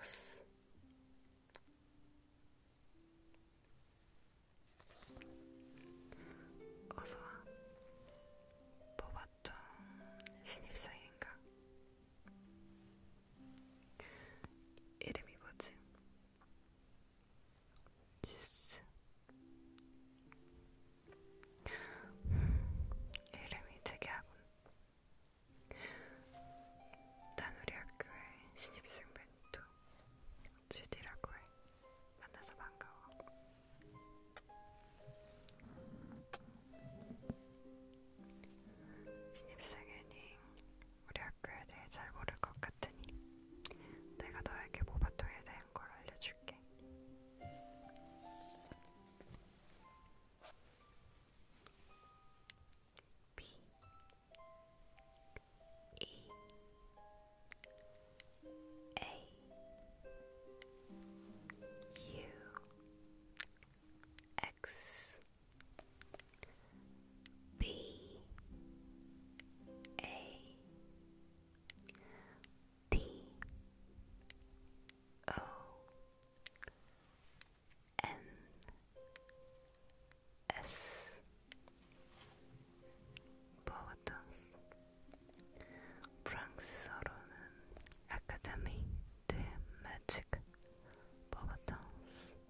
르무스 어서와 뽑았던 신입사인가 이름이 뭐지? 지스 이름이 특이하군 난 우리 학교에 신입생 멘토 주디라고 해 만나서 반가워 신입생 애닝 우리 학교에 대해 잘 모를 것 같으니 내가 너에게 모바토에 대한 걸 알려줄게. B E A U X B A T O N S Bovatos Frank Soronen Academy de Magic Bovatons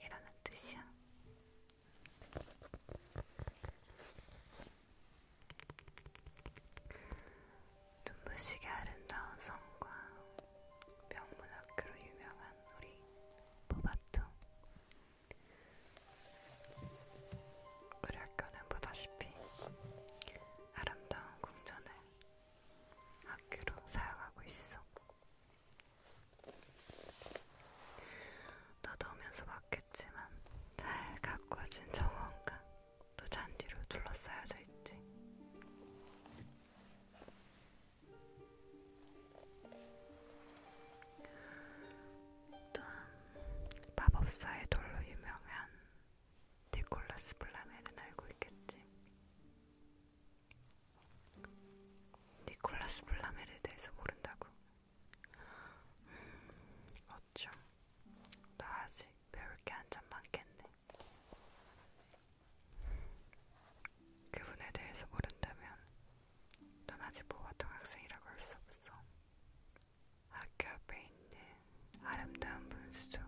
이라는 뜻이야. 눈부시게 아름다운 성과 명문학교로 유명한 우리 보바퉁. 우리 학교는 보다시피 아름다운 궁전을 학교로 사용하고 있어. 더더우면서 막겠지만 잘 가꿔진 정원과 또 잔디로 둘러싸여져 있지. 또한 마법사의 돌로 유명한 니콜라스 블라멜은 알고 있겠지. 니콜라스 플라멜에 대해서 모른다고? 음, 어쩜 나 아직 배울 게 한참 많겠네. 그분에 대해서 모른다면 넌 아직 보통 학생이라고 할 수 없어. 학교 앞에 있는 아름다운 분수조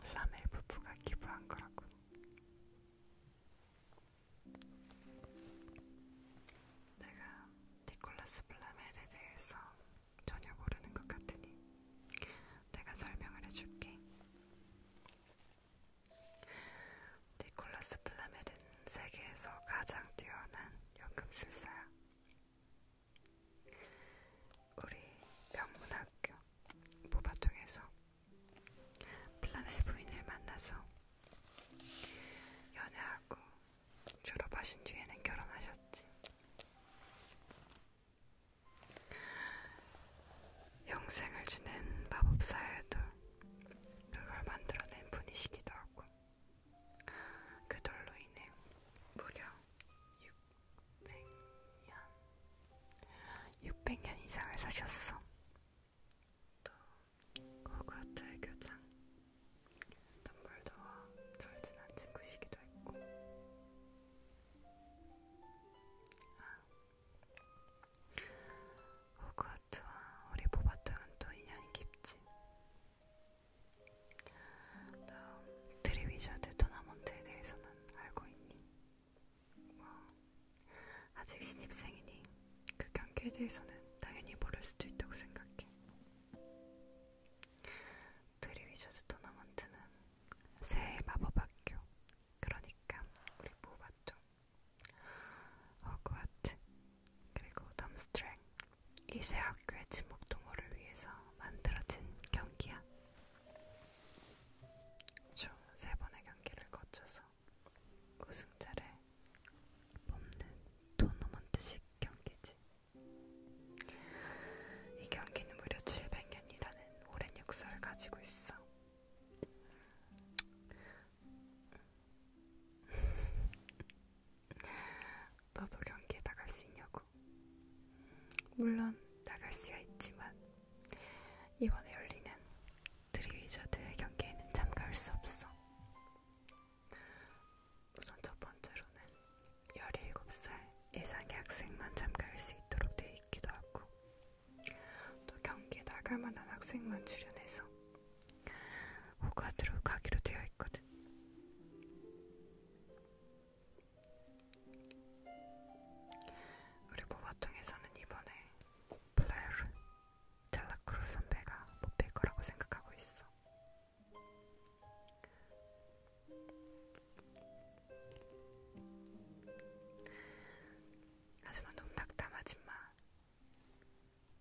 플라멜 부부가 기부한 거라고. 내가 니콜라스 플라멜에 대해서 전혀 모르는 것 같으니 내가 설명을 해줄게. 니콜라스 플라멜은 세계에서 가장 뛰어난 연금술사야. 우리 명문학교 모바통에서 플라멜 부인을 만나서 연애하고 졸업하신 뒤에는 결혼하셨지. 영생을 주는 마법사에도 그걸 만들어낸 분이시기도 하고 그 돌로 인해 무려 600년 600년 이상을 사셨어. 또 호그와트의 교장 덤블도와 절친한 친구시기도 했고 아, 호그와트와 우리 보바토는 또 인연이 깊지 다음 트리위저드 토너먼트에 대해서는 알고 있니? 뭐, 아직 신입생이니 그 경기에 대해서는 당연히 모를 수도 있다고 생각해. 드리위저즈 토너먼트는 새해 마법학교, 그러니까 우리 모바토, 허그와트, 그리고 덤스트랭 이 세 학교의 침묵 동호를 위해서 만들어진 경기야. 총 세 번의 경기를 거쳐서 우승자를 뽑는 토너먼트식 경기지. 이 경기는 무려 700년이라는 오랜 역사를 가지고 있어. 너도 경기에 나갈 수 있냐고? 물론 나갈 수야 있지만 이번에 열리는 드리위저드의 경기에는 참가할 수 없어. 우선 첫 번째로는 17살 이상의 학생만 참가할 수 있도록 돼 있기도 하고 또 경기에 나갈 만한 학생만 출연해서 호가드로 가기로 되어 있거든. 그리고 보통에서는 이번에 플레르 델라크루 선배가 못뺄 거라고 생각하고 있어. 하지만 너무 낙담하지 마.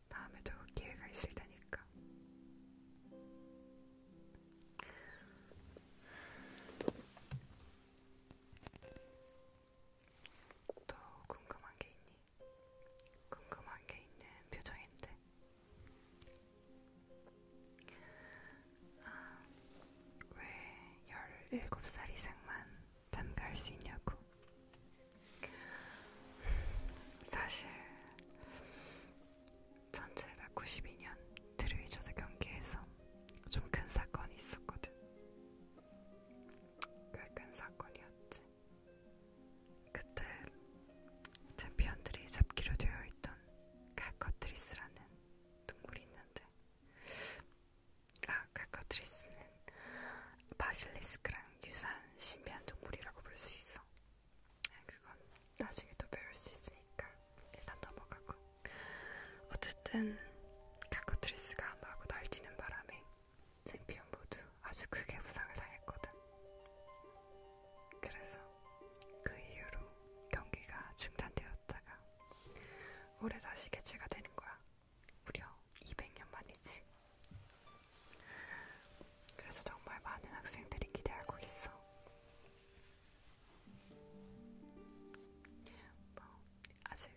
다음에도 기회가 있을 테니까. 또 궁금한 게 있니? 궁금한 게 있는 표정인데. 아, 왜 17살 이상만 참가할 수 있냐고. 사실 1792년 트루이저드 경기에서 좀 큰 사건이 있었거든. 꽤큰 사건이었지. 그때 챔피언들이 잡기로 되어 있던 칼커트리스라는 동굴이 있는데, 아 칼커트리스는 바실리스크랑 유사한 신비한 동물이라고 볼 수 있어. 그건 나중에 또 배울 수 있으니까 일단 넘어가고. 어쨌든 카코트리스가 마구 날뛰는 바람에 챔피언 모두 아주 크게 부상을 당했거든. 그래서 그 이후로 경기가 중단되었다가 올해 다시 개최가 되는 거야. 무려 200년 만이지. 그래서 정말 많은 학생들이 기대하고 있어. 뭐 아직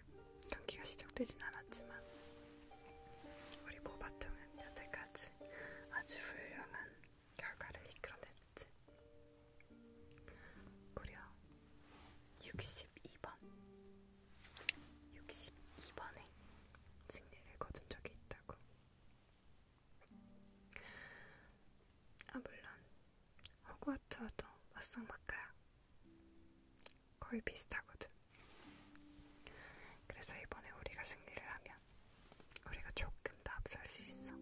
경기가 시작되진 않았지만 우리 모바통은 여태까지 아주 훌륭한 결과를 이끌어냈지. 무려 62번, 62번에 승리를 거둔 적이 있다고. 아 물론 호그와트와도 맞상맞가야 거의 비슷하거든. 그래서 이번에 우리가 승리를 하면 우리가 조금 더 앞설 수 있어.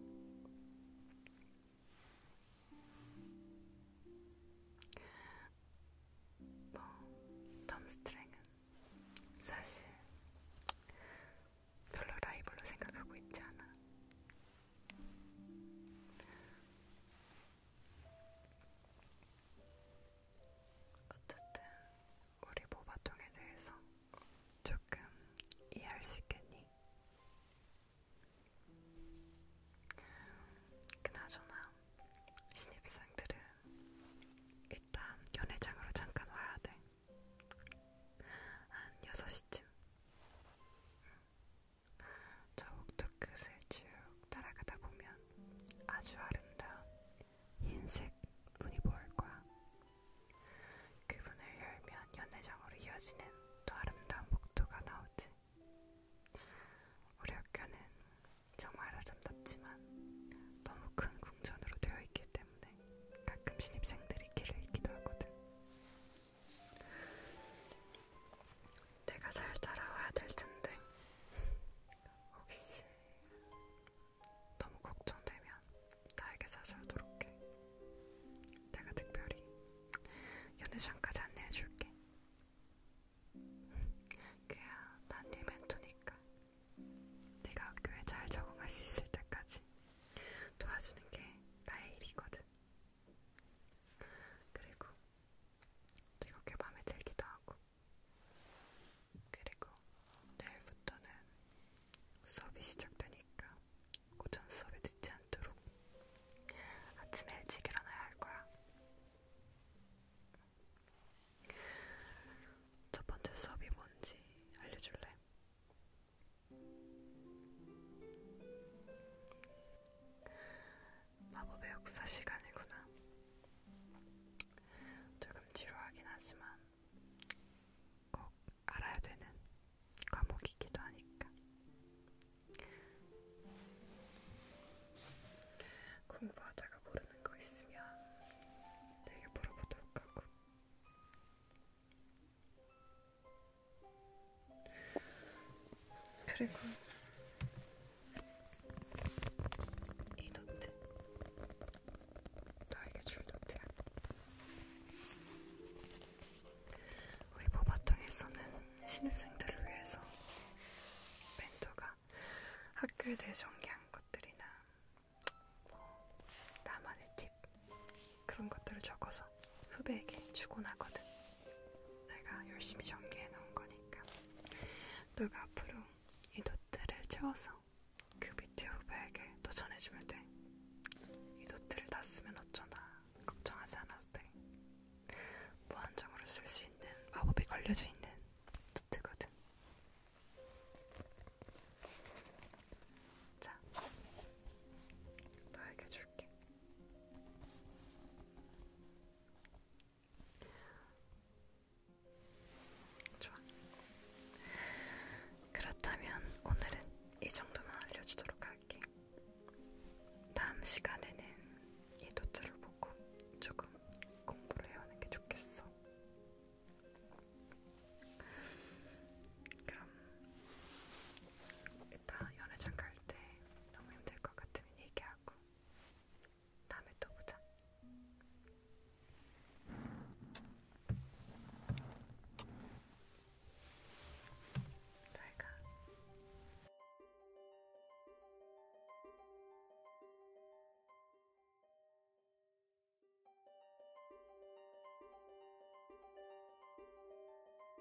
뭐, 덤스트랭은 사실 별로 라이벌로 생각하고 있지 않아. 어쨌든 우리 모바통에 대해서 조금 이해할 수 있겠니? 그나저나 신입생들은 일단 연회장으로 잠깐 와야 돼. 한 6시쯤. 응. 저 옥토 끝을 쭉 따라가다 보면 아주 아름다운 흰색 문이 보일 거야. 그 문을 열면 연회장으로 이어지는 또 아름다운 복도가 나오지. 우리 학교는 정말 아름답지만 너무 큰 궁전으로 되어 있기 때문에 가끔 신입생들이 길을 잃기도 하거든. 내가 잘 따라와야 될 텐데 혹시 너무 걱정되면 나에게 사설도록 해. 내가 특별히 연회장까지 안내해줄게. 그야 난네 멘토니까 네가 학교에 잘 적응할 수 있을 때까지 도와주는 게 나의 일이거든. 그리고 되게 마음에 들기도 하고 그리고 내일부터는 수업이 시작되니까 오전 수업에 늦지 않도록 아침에 일찍 일어나야 할 거야. 첫 번째 수업이 뭔지 알려줄래? 마법의 역사 시간이구나. 조금 지루하긴 하지만 꼭 알아야 되는 과목이기도 하니까. 공부하다가 모르는 거 있으면 내게 물어보도록 하고 그리고 이 노트 너에게 줄 노트야 우리 보바통에서는 신입생들을 위해서 멘토가 학교에 대해 전개한 것들이나 뭐 나만의 팁 간식 그런 것들을 적어서 후배에게 주곤 하거든. 내가 열심히 정리해 놓은 거니까. 너가 앞으로 이 노트를 채워서 그 밑에 후배에게 또 전해주면 돼. 이 노트를 다 쓰면 어쩌나 걱정하지 않아도 돼. 무한정으로 쓸 수 있는 마법이 걸려져 있는 노트거든. 자, 너에게 줄게. 좋아. 그렇다면 오늘은 이 정도만 알려주도록 할게. 다음 시간에는 이 노트를 보고 조금 공부를 해오는 게 좋겠어. 그럼 이따 연애장 갈 때 너무 힘들 것 같으면 얘기하고 다음에 또 보자. 잘가.